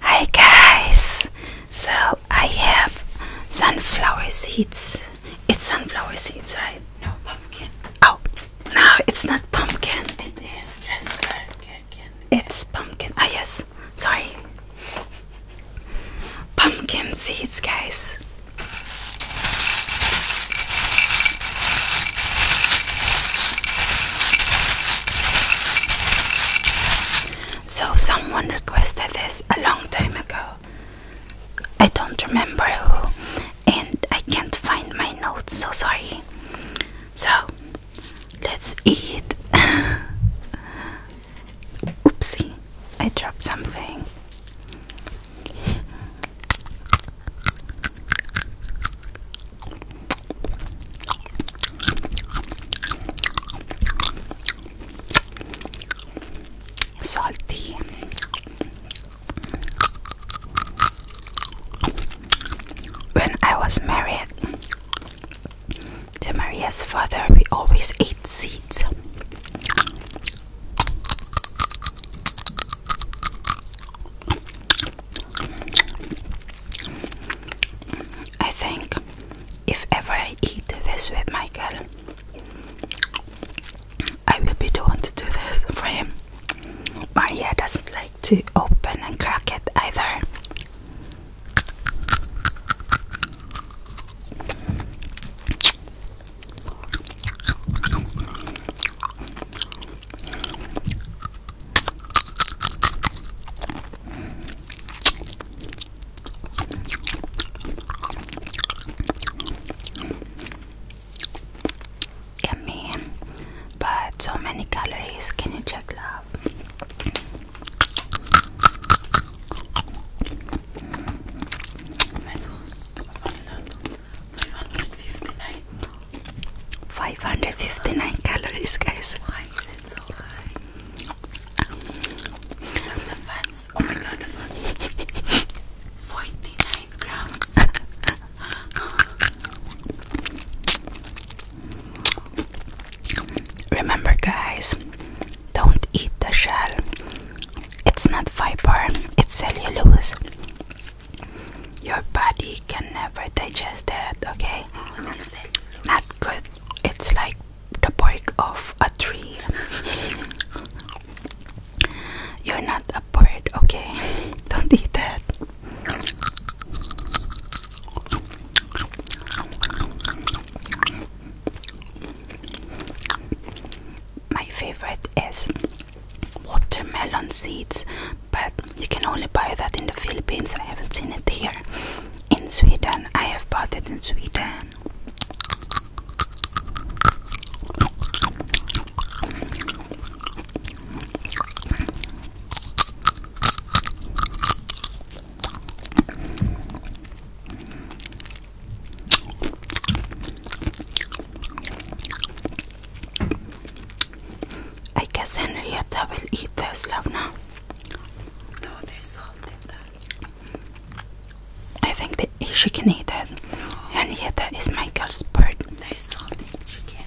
Hi guys! So I have sunflower seeds. It's sunflower seeds, right? No, pumpkin. Oh, no, it's not pumpkin. It is yes, pumpkin. It's pumpkin. Ah, yes. Sorry. Pumpkin seeds, guys. So, someone requested this a long time ago. I don't remember who, and I can't find my notes, so sorry. So, let's eat. Oopsie, I dropped something. Salty. When I was married to Maria's father, we always ate seeds. I think if ever I eat this with Michael, I will be the one to do this for him. Maria doesn't like to open and crack it either. Yummy, but so many calories. Can you check, love? 559. calories, guys. 49 grams. Remember, guys, don't eat the shell. It's not fiber, it's cellulose. Your body can never digest that, okay? Not good. It's like the break of a tree. You're not a bird, okay? Don't eat that my favorite is watermelon seeds, but you can only buy that in the Philippines. I haven't seen it here. In Sweden, I have bought it in Sweden. I guess Henrietta will eat those, love now. No, there's salt in I think that she can eat that. Henrietta is Michael's bird. There's salt in the chicken.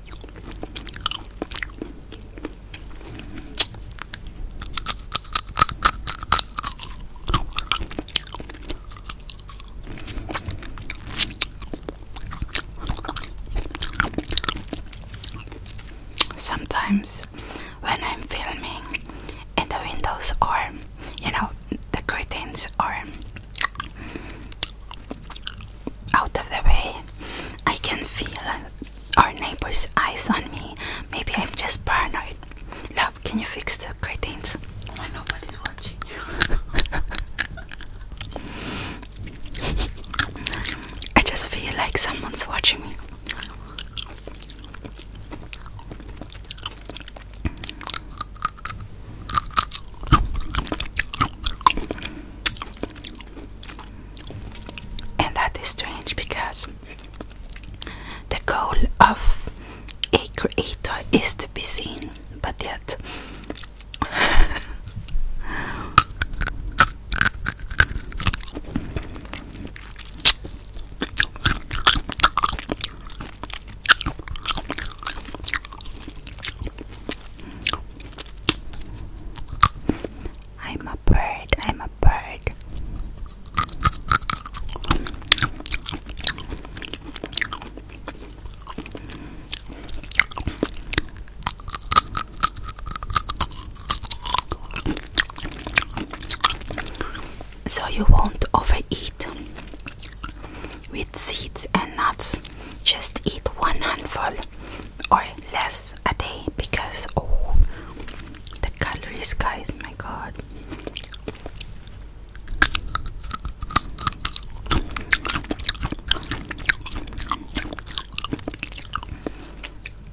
Sometimes when I'm filming and the windows are, you know, the curtains are out of the way. I can feel our neighbor's eyes on me. Maybe I'm just paranoid. Love, can you fix the curtains? Oh, I nobody's watching I just feel like someone's watching me. And that is strange because the goal of a creator is to be seen, but yet. I'm a bird, I'm a bird. So you won't overeat with seeds and nuts just eat one handful or less a day because oh the calories guys my god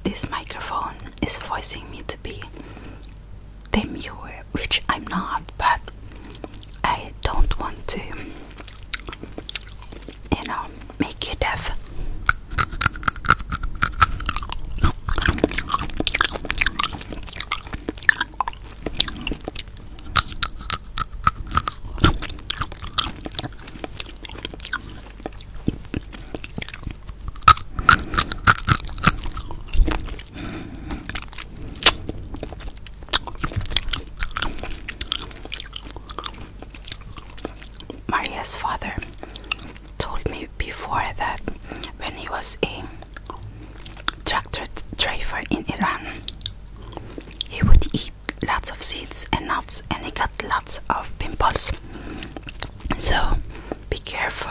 this microphone is forcing me to be demure, which I'm not, but I don't want to you know, make you deaf. Maria's father told me before that when he was a tractor driver in Iran, he would eat lots of seeds and nuts and he got lots of pimples. So be careful.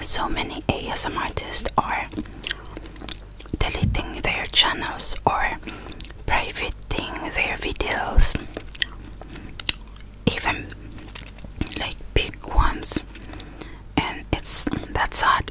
So many ASM artists are deleting their channels or privating their videos, even like big ones, and it's that's hard.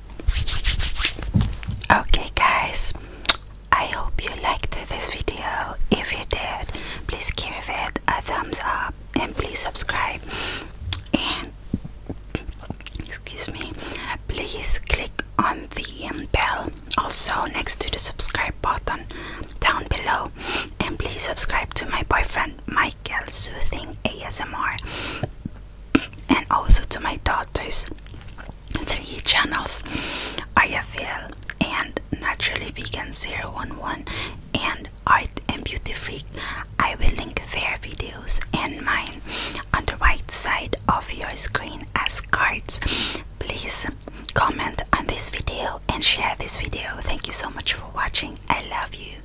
Okay, guys, I hope you liked this video. If you did, please give it a thumbs up and please subscribe. And excuse me, please click on the um, bell also next to the subscribe button down below. And please subscribe to my boyfriend Michael Soothing ASMR and also to my daughter's three channels IFL and Naturally Vegan 011 and Art and Beauty Freak. I will link their videos and mine on the right side of your screen as cards. Please comment on this video and share this video. Thank you so much for watching. I love you.